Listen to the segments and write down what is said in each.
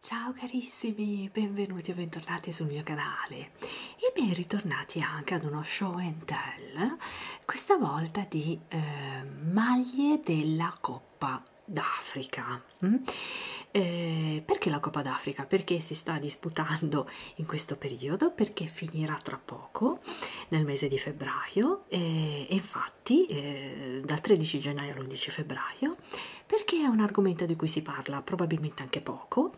Ciao carissimi, benvenuti e bentornati sul mio canale e ben ritornati anche ad uno show and tell, questa volta di eh, maglie della Coppa d'Africa. Mm? Eh, perché la Coppa d'Africa? Perché si sta disputando in questo periodo, perché finirà tra tra poco, nel mese di febbraio, e, e infatti eh, dal 13 gennaio all'11 febbraio, perché è un argomento di cui si parla probabilmente anche poco.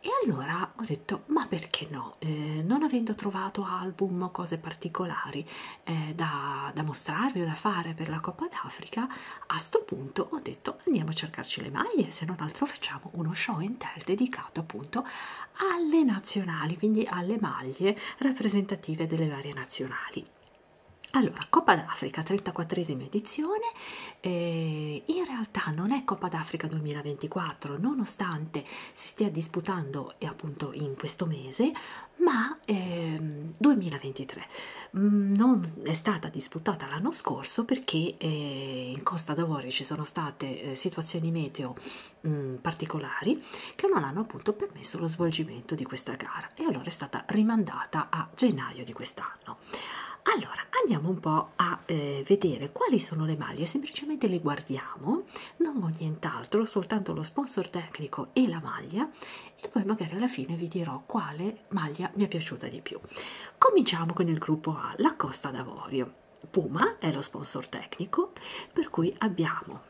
E allora ho detto: ma perché no? Eh, non avendo trovato album o cose particolari eh, da, da mostrarvi o da fare per la Coppa d'Africa, a sto punto ho detto andiamo a cercarci le maglie, se non altro facciamo uno show in tel dedicato appunto alle nazionali, quindi alle maglie rappresentative delle varie nazionali. Allora, Coppa d'Africa, 34esima edizione, eh, in realtà non è Coppa d'Africa 2024, nonostante si stia disputando eh, appunto in questo mese, ma eh, 2023 mm, non è stata disputata l'anno scorso perché eh, in Costa d'Avorio ci sono state eh, situazioni meteo mh, mm, particolari che non hanno appunto permesso lo svolgimento di questa gara e allora è stata rimandata a gennaio di quest'anno. Allora andiamo un po' a eh, vedere quali sono le maglie, semplicemente le guardiamo, non ho nient'altro, soltanto lo sponsor tecnico e la maglia e poi magari alla fine vi dirò quale maglia mi è piaciuta di più. Cominciamo con il gruppo A, la Costa d'Avorio. Puma è lo sponsor tecnico, per cui abbiamo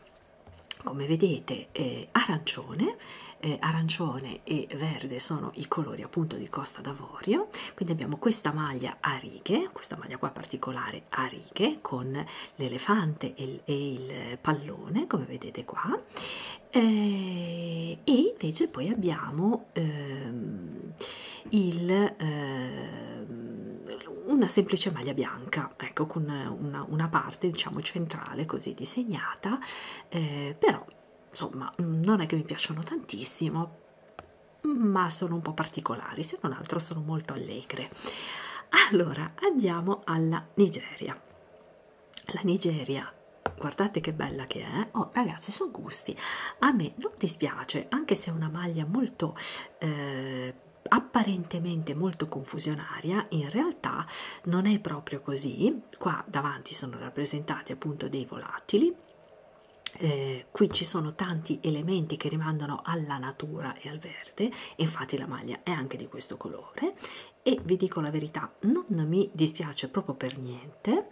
come vedete eh, arancione, eh, arancione e verde sono i colori appunto di Costa d'Avorio, quindi abbiamo questa maglia a righe, questa maglia qua particolare a righe con l'elefante e, e il pallone come vedete qua eh, e invece poi abbiamo ehm, il... Ehm, una semplice maglia bianca, ecco, con una, una parte diciamo centrale così disegnata, eh, però insomma mm, non è che mi piacciono tantissimo, ma sono un po' particolari, se non altro sono molto allegre. Allora andiamo alla Nigeria. La Nigeria, guardate che bella che è, eh? oh ragazzi sono gusti, a me non dispiace anche se è una maglia molto... Eh, apparentemente molto confusionaria, in realtà non è proprio così. Qua davanti sono rappresentati appunto dei volatili. Eh, qui ci sono tanti elementi che rimandano alla natura e al verde, infatti la maglia è anche di questo colore e vi dico la verità, non mi dispiace proprio per niente.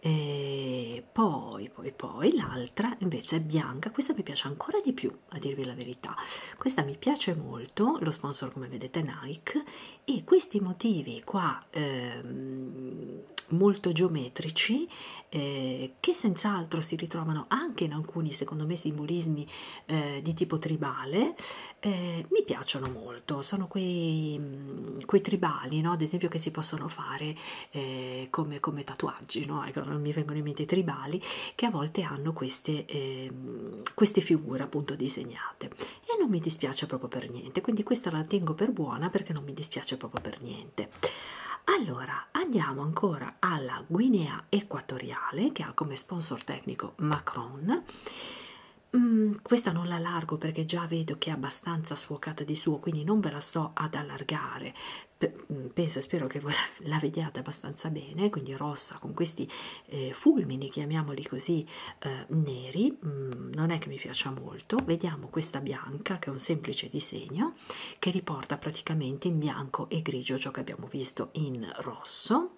E eh, poi, poi, poi l'altra invece è bianca, questa mi piace ancora di più a dirvi la verità questa mi piace molto lo sponsor come vedete è Nike e questi motivi qua ehm, molto geometrici eh, che senz'altro si ritrovano anche in alcuni secondo me simbolismi eh, di tipo tribale eh, mi piacciono molto sono quei, mm, quei tribali no? ad esempio che si possono fare eh, come, come tatuaggi immagino, ecco, non mi vengono in mente i tribali, che a volte hanno queste, eh, queste figure appunto disegnate e non mi dispiace proprio per niente, quindi questa la tengo per buona perché non mi dispiace proprio per niente. Allora, andiamo ancora alla Guinea Equatoriale che ha come sponsor tecnico Macron. Mm, questa non la allargo perché già vedo che è abbastanza sfocata di suo, quindi non ve la sto ad allargare Mm, penso e spero che voi la, la vediate abbastanza bene, quindi rossa con questi eh, fulmini, chiamiamoli così, eh, neri, mm, non è che mi piaccia molto, vediamo questa bianca che è un semplice disegno che riporta praticamente in bianco e grigio ciò che abbiamo visto in rosso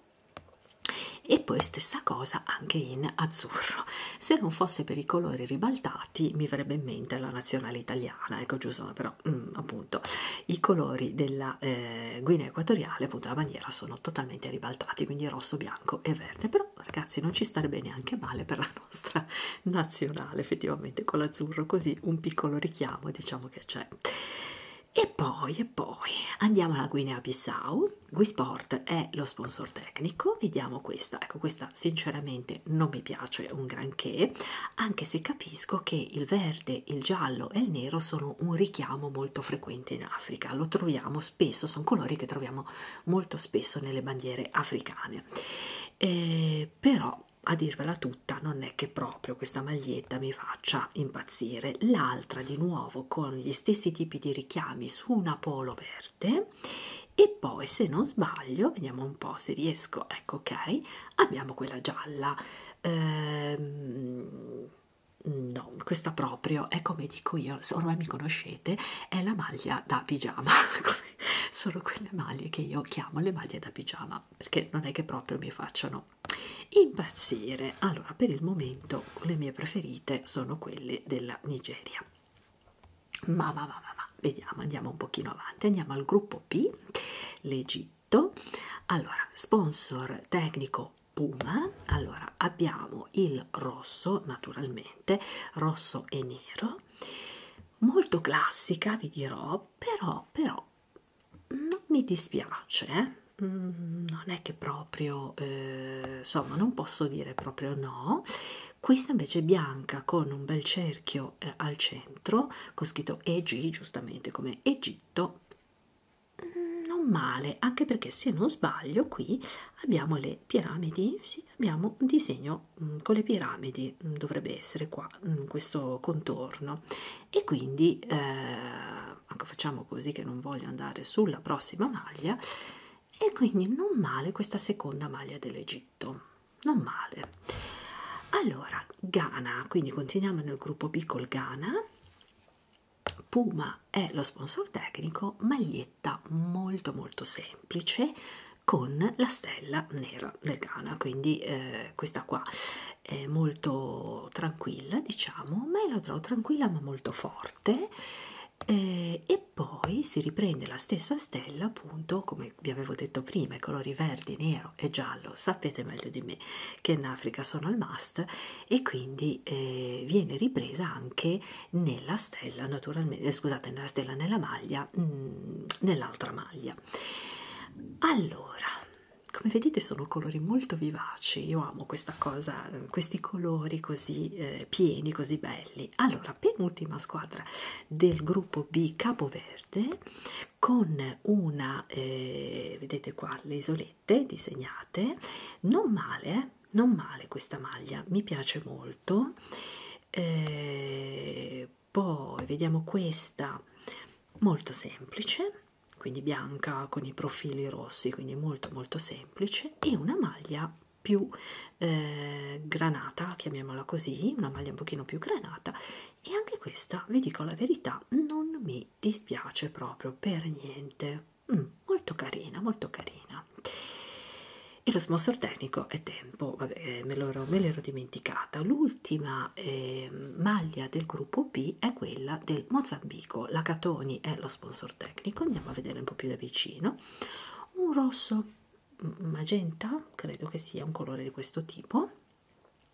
e poi stessa cosa anche in azzurro se non fosse per i colori ribaltati mi verrebbe in mente la nazionale italiana ecco giusto però sono mm, mh, appunto i colori della eh, Guinea Equatoriale, appunto la bandiera sono totalmente ribaltati, quindi rosso, bianco e verde, però ragazzi non ci starebbe neanche male per la nostra nazionale effettivamente con l'azzurro, così un piccolo richiamo diciamo che c'è. E poi, e poi andiamo alla Guinea Bissau. Guisport è lo sponsor tecnico, vediamo questa. Ecco, questa sinceramente sinceramente non mi piace un granché, anche se capisco che il verde, il giallo e il nero sono un richiamo molto frequente in Africa, lo troviamo spesso, sono colori che troviamo molto spesso nelle bandiere africane. Eh, però a dirvela tutta non è che proprio questa maglietta mi faccia impazzire l'altra di nuovo con gli stessi tipi di richiami su una polo verde e poi se non sbaglio vediamo un po se riesco ecco ok abbiamo quella gialla ehm, no questa proprio è come dico io ormai mi conoscete è la maglia da pigiama sono quelle maglie che io chiamo le maglie da pigiama perché non è che proprio mi facciano impazzire allora per il momento le mie preferite sono quelle della Nigeria ma ma ma ma, ma vediamo, andiamo un pochino avanti, andiamo al gruppo P, l'Egitto, allora sponsor tecnico Puma, allora abbiamo il rosso naturalmente, rosso e nero, molto classica vi dirò, però, però non mi dispiace, eh? Mm, non è che proprio, eh, insomma non posso dire proprio no, questa invece è bianca con un bel cerchio scritto eh, al centro, con scritto EG giustamente come Egitto, mm, non male, anche perché se non sbaglio qui abbiamo le piramidi, sì, abbiamo un disegno mm, con le piramidi, mm, dovrebbe essere qua mm, questo contorno e quindi eh, anche facciamo così che non voglio andare sulla prossima maglia e quindi non male questa seconda maglia dell'Egitto non male allora Ghana quindi continuiamo nel gruppo B col Ghana Puma è lo sponsor tecnico maglietta molto molto semplice con la stella nera del Ghana quindi eh, questa qua è molto tranquilla diciamo ma io la trovo tranquilla ma molto forte eh, e poi si riprende la stessa stella appunto come come vi avevo detto prima, i colori verdi, nero e giallo sapete meglio di me che in Africa sono al must e quindi eh, viene ripresa anche nella stella, naturalmente, eh, scusate, nella stella, nella maglia, mm, nell'altra maglia. Allora, come vedete sono colori molto vivaci, io amo questa cosa, eh, questi colori così eh, pieni, così belli. Allora, penultima squadra del gruppo B Capoverde con una eh, vedete qua le isolette disegnate non male eh, non male questa maglia mi piace molto eh, poi vediamo questa molto semplice quindi bianca con i profili rossi quindi molto molto semplice e una maglia più eh, granata chiamiamola così una maglia un pochino più granata e anche questa, vi dico la verità, non mi dispiace proprio per niente. Mm, molto carina, molto carina. E lo smosso tecnico è tempo, vabbè, eh, me l'ero dimenticata. L'ultima eh, maglia del gruppo B è quella del Mozambico. La Catoni è lo sponsor tecnico, andiamo a vedere un po' più da vicino. Un rosso magenta credo che sia un colore di questo tipo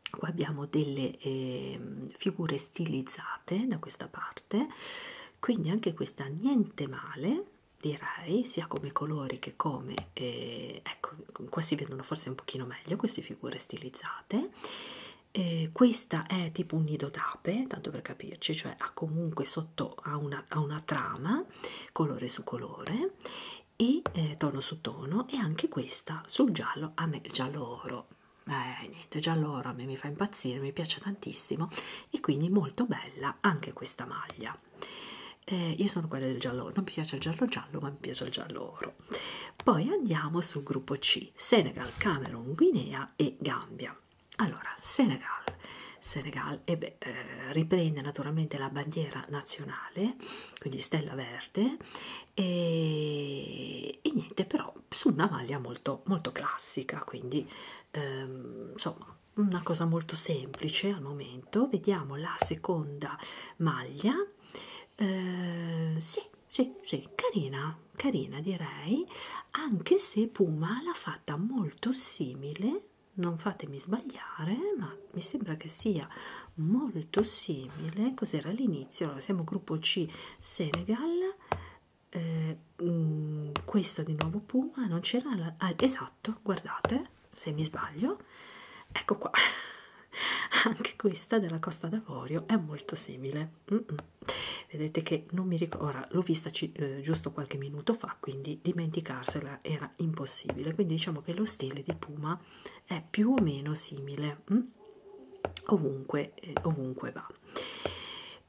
qua abbiamo delle eh, figure stilizzate da questa parte quindi anche questa niente male direi sia come colori che come eh, ecco qua si vedono forse un pochino meglio queste figure stilizzate eh, questa è tipo un nido d'ape tanto per capirci cioè ha comunque sotto ha una, ha una trama colore su colore e eh, tono su tono e anche questa sul giallo a me giallo oro eh, niente giallo oro a me mi fa impazzire mi piace tantissimo e quindi molto bella anche questa maglia eh, io sono quella del giallo oro non mi piace il giallo giallo ma mi piace il giallo oro poi andiamo sul gruppo C Senegal Camerun Guinea e Gambia allora Senegal Senegal è dove eh, riprende naturalmente la bandiera nazionale, quindi stella verde, e, e niente, però su una maglia molto, molto classica, quindi ehm, insomma una cosa molto semplice al momento. Vediamo la seconda maglia, eh, sì, sì, sì, carina, carina direi, anche se Puma l'ha fatta molto simile non fatemi sbagliare, ma mi sembra che sia molto simile. Cos'era all'inizio? Allora, siamo gruppo C Senegal. Eh, mh, mm, questo di nuovo Puma non c'era la... ah, esatto, guardate se mi sbaglio, ecco qua. Anche questa della Costa d'Avorio è molto simile. Mm -mm. Vedete che non mi ricordo, ora l'ho vista eh, giusto qualche minuto fa fa, quindi dimenticarsela era impossibile. Quindi diciamo che lo stile di Puma è più o meno simile mh? Mm? ovunque, eh, ovunque va.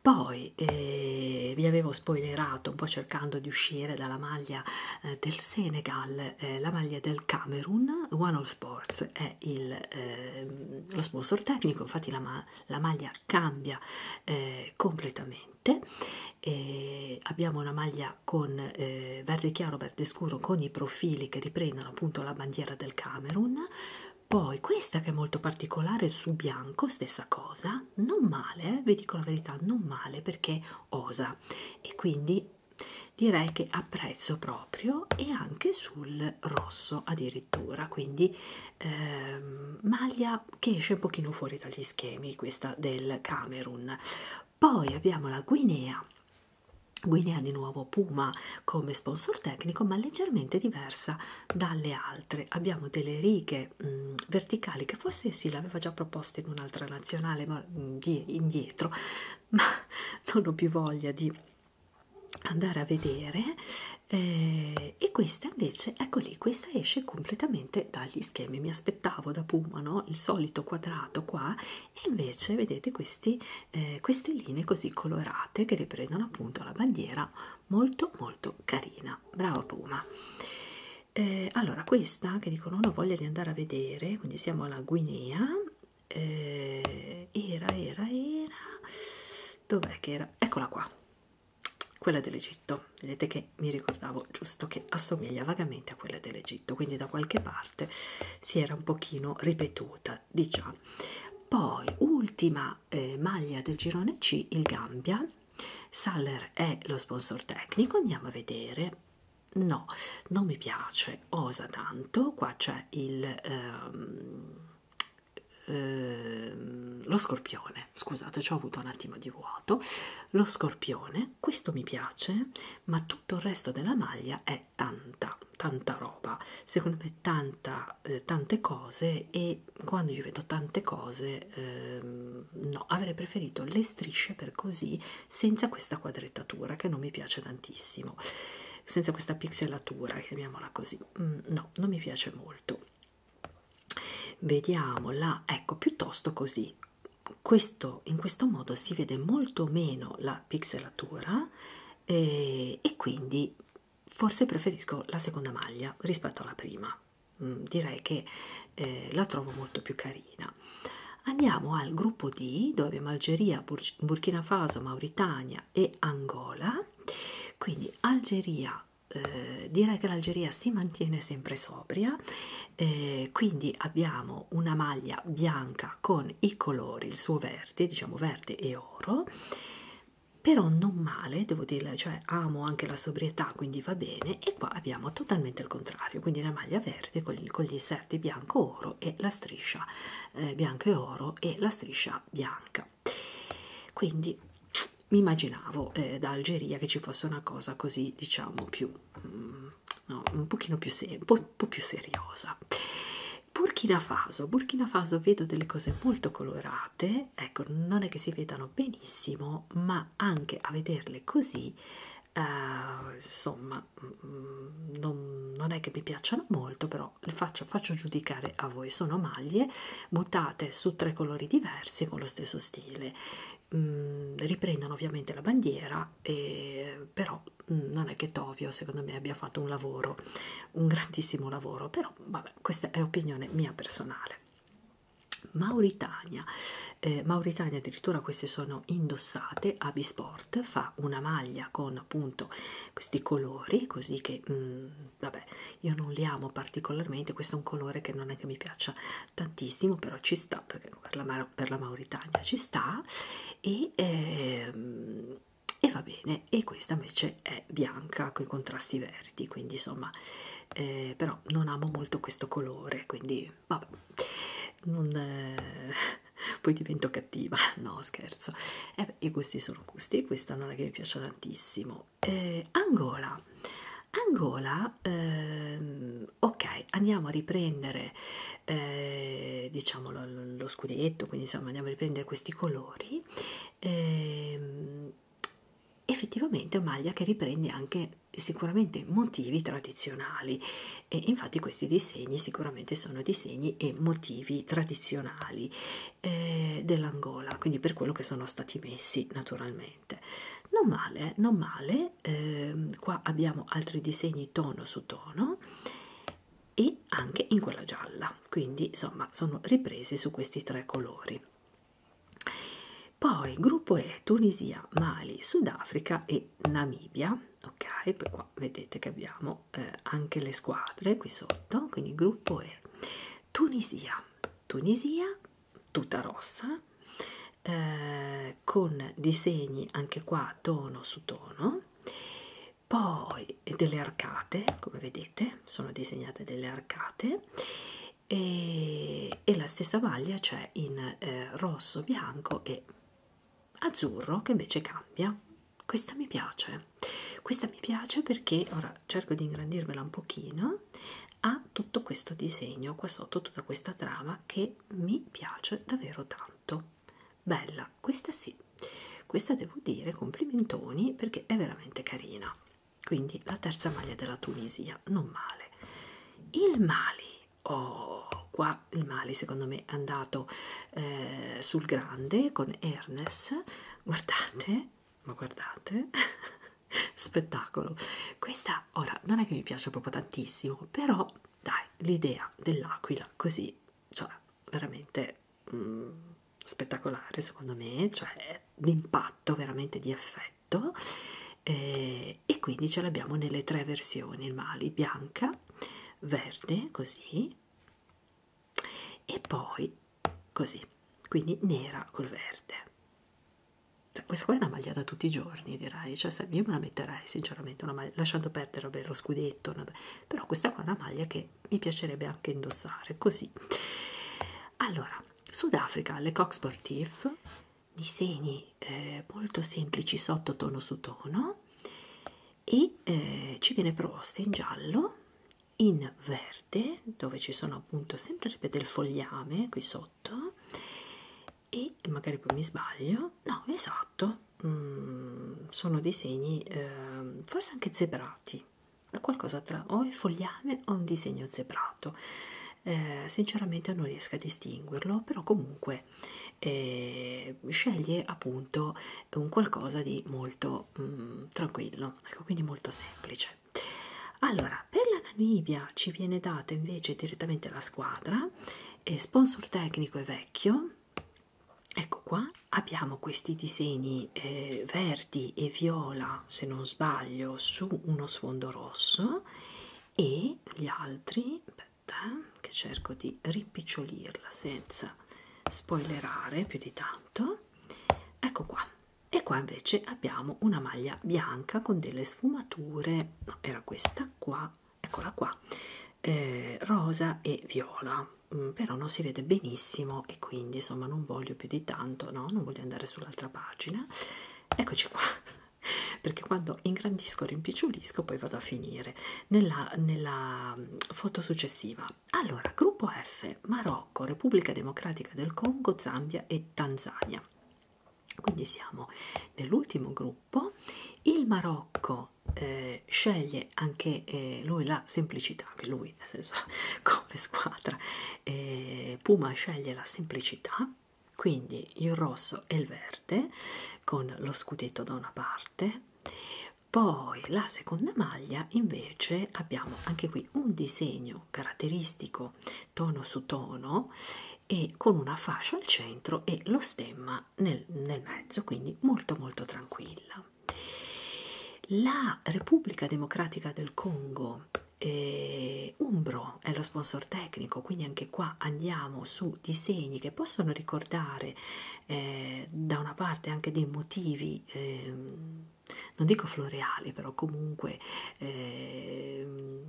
Poi eh, vi avevo spoilerato un po' cercando di uscire dalla maglia eh, del Senegal, eh, la maglia del Camerun, One All Sports è il, eh, lo sponsor tecnico, infatti la, ma la maglia cambia eh, completamente niente eh, abbiamo una maglia con eh, verde chiaro verde scuro con i profili che riprendono appunto la bandiera del Camerun poi questa che è molto particolare su bianco stessa cosa non male eh, vi dico la verità non male perché osa e quindi direi che apprezzo proprio e anche sul rosso addirittura quindi ehm, maglia che esce un pochino fuori dagli schemi questa del Camerun poi abbiamo la Guinea, Guinea di nuovo Puma come sponsor tecnico, ma leggermente diversa dalle altre. Abbiamo delle righe mh, mm, verticali che forse sì, l'aveva già proposta in un'altra nazionale, ma mm, di, indietro, ma non ho più voglia di andare a vedere. Eh, e questa invece, ecco lì, questa esce completamente ovviamente dagli schemi mi aspettavo da Puma no? il solito quadrato qua e invece vedete questi, eh, queste linee così colorate che riprendono appunto la bandiera molto molto carina brava Puma eh, allora questa che dicono non ho voglia di andare a vedere quindi siamo alla Guinea eh, era era era dov'è che era eccola qua quella dell'Egitto Egitto vedete che mi ricordavo giusto che assomiglia vagamente a quella dell'Egitto quindi da qualche parte si era un pochino ripetuta diciamo poi ultima eh, maglia del girone C il Gambia Saller è lo sponsor tecnico andiamo a vedere no non mi piace osa tanto qua c'è il ehm, ehm, lo scorpione scusate ci ho avuto un attimo di vuoto lo scorpione me questo mi piace, ma tutto il resto della maglia è tanta, tanta roba. Secondo me tanta, eh, tante cose e quando io vedo tante cose, ehm, no, avrei preferito le strisce per così, senza questa quadrettatura che non mi piace tantissimo, senza questa pixelatura, chiamiamola così. Mm, no, non mi piace molto. Vediamo la, ecco, piuttosto così questo, in questo modo si vede molto meno la pixelatura eh, e quindi forse preferisco la seconda maglia rispetto alla prima mm, direi che eh, la trovo molto più carina andiamo al gruppo D dove abbiamo Algeria, Bur Burkina Faso, Mauritania e Angola quindi Algeria eh, direi che l'Algeria si mantiene sempre sobria eh, quindi abbiamo una maglia bianca con i colori il suo verde diciamo verde e oro però non male devo dire cioè amo anche la sobrietà quindi va bene e qua abbiamo totalmente il contrario quindi la maglia verde con, con gli inserti bianco oro e la striscia eh, bianco e oro e la striscia bianca quindi mi immaginavo eh, da Algeria che ci fosse una cosa così diciamo più Mm, no, un pochino più, un po', po più seriosa. Burkina Faso, Burkina Faso vedo delle cose molto colorate, ecco non è che si vedano benissimo, ma anche a vederle così, eh, insomma, mm, non, non è che mi piacciono molto, però le faccio, faccio giudicare a voi. Sono maglie mutate su tre colori diversi con lo stesso stile, mh, mm, riprendono ovviamente la bandiera e, però mh, mm, non è che Tovio secondo me abbia fatto un lavoro un grandissimo lavoro però vabbè questa è opinione mia personale Mauritania eh, Mauritania addirittura queste sono indossate Abisport fa una maglia con appunto questi colori così che mh, mm, vabbè io non li amo particolarmente questo è un colore che non è che mi piaccia tantissimo però ci sta perché per la, per la Mauritania ci sta e, ehm, e va bene e questa invece è bianca con i contrasti verdi quindi insomma eh, però non amo molto questo colore quindi vabbè non, eh, poi divento cattiva no scherzo eh beh, i gusti sono gusti questa non è che mi piace tantissimo eh, Angola Angola ehm, ok andiamo a riprendere eh, diciamo lo, lo scudetto quindi insomma andiamo a riprendere questi colori eh, effettivamente è una maglia che riprende anche sicuramente motivi tradizionali e infatti questi disegni sicuramente sono disegni e motivi tradizionali eh, dell'Angola quindi per quello che sono stati messi naturalmente non male non male colore eh, qua abbiamo altri disegni tono su tono e anche in quella gialla quindi insomma sono ripresi su questi tre colori poi gruppo E Tunisia Mali Sudafrica e Namibia ok per qua vedete che abbiamo eh, anche le squadre qui sotto quindi gruppo E Tunisia Tunisia, tutta rossa, eh, con disegni anche qua tono su tono, poi delle arcate, come vedete, sono disegnate delle arcate e, e la stessa maglia c'è in eh, rosso, bianco e azzurro che invece cambia. Questa mi piace, questa mi piace perché ora cerco di ingrandirvela un pochino a tutto questo disegno qua sotto tutta questa trama che mi piace davvero tanto bella questa sì questa devo dire complimentoni perché è veramente carina quindi la terza maglia della Tunisia non male il Mali oh qua il Mali secondo me è andato eh, sul grande con Ernest guardate ma guardate spettacolo questa ora non è che mi piace proprio tantissimo però dai l'idea dell'aquila così cioè veramente mm, spettacolare secondo me cioè d'impatto veramente di effetto eh, e quindi ce l'abbiamo nelle tre versioni il mali bianca verde così e poi così quindi nera col verde cioè, questa qua è una maglia da tutti i giorni, direi. Cioè, io me la metterei sinceramente, una maglia, lasciando perdere vabbè, lo scudetto, una... però questa qua è una maglia che mi piacerebbe anche indossare. Così, allora, Sudafrica, le Coq Sportif, disegni eh, molto semplici sotto tono su tono e eh, ci viene proposta in giallo in verde dove ci sono appunto sempre del fogliame qui sotto sotto e magari poi mi sbaglio no esatto mm, sono disegni eh, forse anche zebrati qualcosa tra o il fogliame o un disegno zebrato eh, sinceramente non riesco a distinguerlo però comunque eh, sceglie appunto un qualcosa di molto mm, tranquillo ecco quindi molto semplice veloce. Allora, per la Namibia ci viene data invece direttamente la squadra, e sponsor tecnico è vecchio, ecco qua, abbiamo questi disegni eh, verdi e viola, se non sbaglio, su uno sfondo rosso e gli altri, aspetta, che cerco di rimpicciolirla senza spoilerare più di tanto, ecco qua e qua invece abbiamo una maglia bianca con delle sfumature no, era questa qua eccola qua eh, rosa e viola mm, però non si vede benissimo e quindi insomma non voglio più di tanto no non voglio andare sull'altra pagina eccoci qua perché quando ingrandisco rimpicciulisco poi vado a finire nella, nella mm, foto successiva allora gruppo F Marocco Repubblica Democratica del Congo Zambia e Tanzania quindi siamo nell'ultimo gruppo il Marocco eh, sceglie anche eh, lui la semplicità lui nel senso come squadra eh, Puma sceglie la semplicità quindi il rosso e il verde con lo scudetto da una parte poi la seconda maglia invece abbiamo anche qui un disegno caratteristico vado tono su tono e con una fascia al centro e lo stemma nel, nel mezzo, quindi molto molto tranquilla. La Repubblica Democratica del Congo eh, Umbro è lo sponsor tecnico, quindi anche qua andiamo su disegni che possono ricordare eh, da una parte anche dei motivi, eh, non dico floreali, però comunque eh,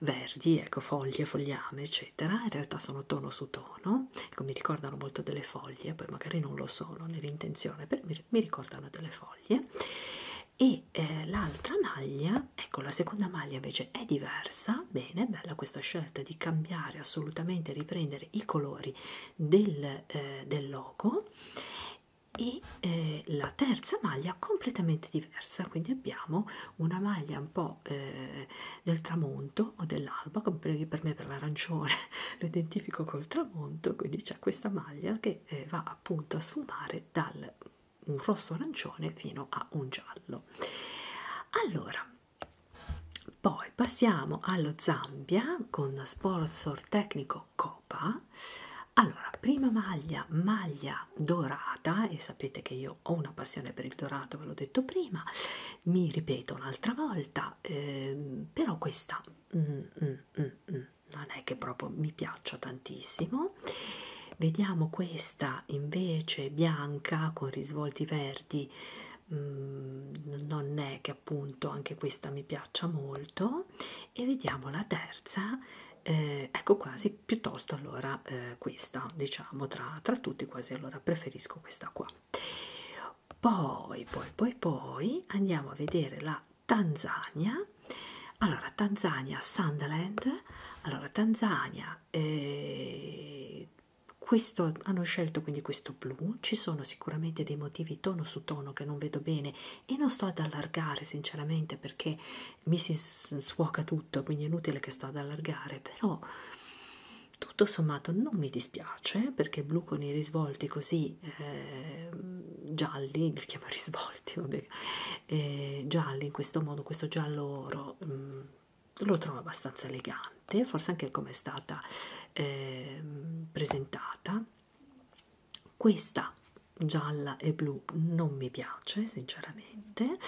verdi, ecco, foglie, fogliame, eccetera. In realtà sono tono su tono, ecco, mi ricordano molto delle foglie, poi magari non lo sono nell'intenzione, però mi ricordano delle foglie. E eh, l'altra maglia, ecco, la seconda maglia invece è diversa, bene, bella questa scelta di cambiare assolutamente, riprendere i colori del, eh, del logo e eh, la terza maglia completamente diversa quindi abbiamo una maglia un po' eh, del tramonto o dell'alba per me per l'arancione lo identifico col tramonto quindi c'è questa maglia che eh, va appunto a sfumare dal un rosso arancione fino a un giallo allora poi passiamo allo Zambia con sponsor tecnico detto copa allora prima maglia maglia dorata e sapete che io ho una passione per il dorato ve l'ho detto prima mi ripeto un'altra volta ehm, però questa mm, mm, mm, mm, non è che proprio mi piaccia tantissimo vediamo questa invece bianca con risvolti verdi mm, non è che appunto anche questa mi piaccia molto e vediamo la terza eh, ecco quasi piuttosto allora eh, questa diciamo tra, tra tutti quasi allora preferisco questa qua poi poi poi poi andiamo a vedere la Tanzania allora Tanzania Sunderland allora Tanzania eh, questo hanno scelto quindi questo blu ci sono sicuramente dei motivi tono su tono che non vedo bene e non sto ad allargare sinceramente perché mi si sfuoca tutto quindi è inutile che sto ad allargare però tutto sommato non mi dispiace eh, perché blu con i risvolti così eh, gialli li chiamo risvolti vabbè eh, gialli in questo modo questo giallo oro mh, mm, lo trovo abbastanza elegante forse anche come è stata eh, presentata questa gialla e blu non mi piace sinceramente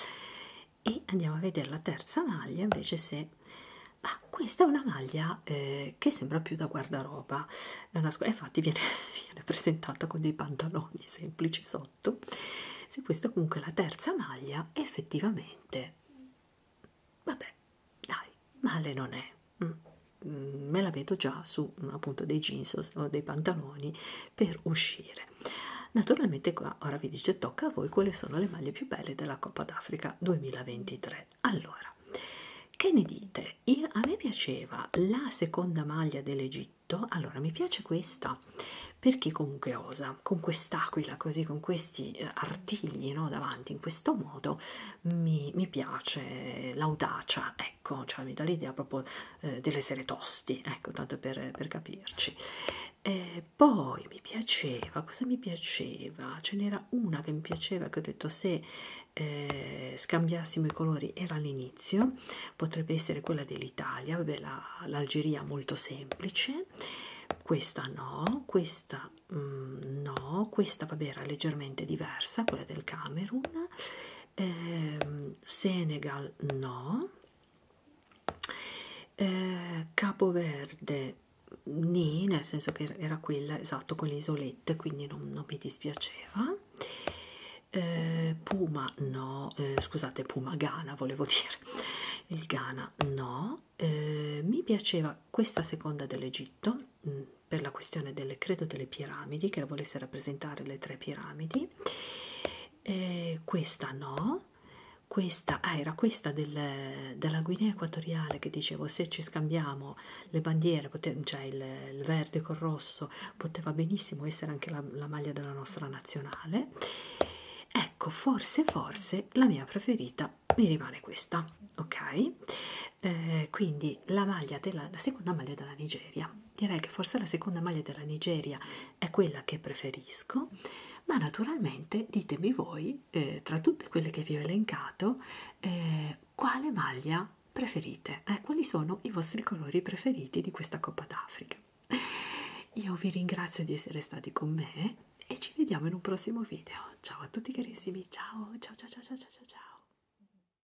e andiamo a vedere la terza maglia invece se ah, questa è una maglia eh, che sembra più da guardaroba è una infatti viene, viene presentata con dei pantaloni semplici sotto se questa comunque è la terza maglia effettivamente vabbè dai male non è mm. Mm, me la vedo già su mm, appunto dei jeans o dei pantaloni per uscire naturalmente qua ora vi dice tocca a voi quali sono le maglie più belle della Coppa d'Africa 2023 allora che ne dite Io, a me piaceva la seconda maglia dell'Egitto allora mi piace questa per chi comunque osa con quest'aquila così con questi eh, artigli no, davanti in questo modo mi, mi piace l'audacia ecco secco, cioè mi dà l'idea proprio eh, dell'essere tosti, ecco, tanto per, per capirci. Eh, poi mi piaceva, cosa mi piaceva? Ce n'era una che mi piaceva, che ho detto se eh, scambiassimo i colori era all'inizio, potrebbe essere quella dell'Italia, vabbè l'Algeria la, molto semplice, questa no, questa mm, no, questa vabbè era leggermente diversa, quella del Camerun eh, Senegal no, eh, Capoverde nì, nel senso che er-, era quella esatto con le isolette, quindi non, non mi dispiaceva. Eh, Puma no, eh, scusate Puma Ghana volevo dire, il Ghana no, eh, mi piaceva questa seconda dell'Egitto, mm, per la questione delle, credo delle piramidi, che la volesse rappresentare le tre piramidi, eh, questa no, questa ah, era questa del, della Guinea Equatoriale che dicevo se ci scambiamo le bandiere, pote, cioè il, il verde col rosso, poteva benissimo essere anche la, la maglia della nostra nazionale. Ecco, forse, forse la mia preferita mi rimane questa, ok? eh, quindi la, maglia della, la seconda maglia della Nigeria direi che forse la seconda maglia della Nigeria è quella che preferisco ma naturalmente ditemi voi eh, tra tutte quelle che vi ho elencato eh, quale maglia preferite eh, quali sono i vostri colori preferiti di questa Coppa d'Africa io vi ringrazio di essere stati con me e ci vediamo in un prossimo video ciao a tutti carissimi ciao ciao ciao ciao ciao ciao ciao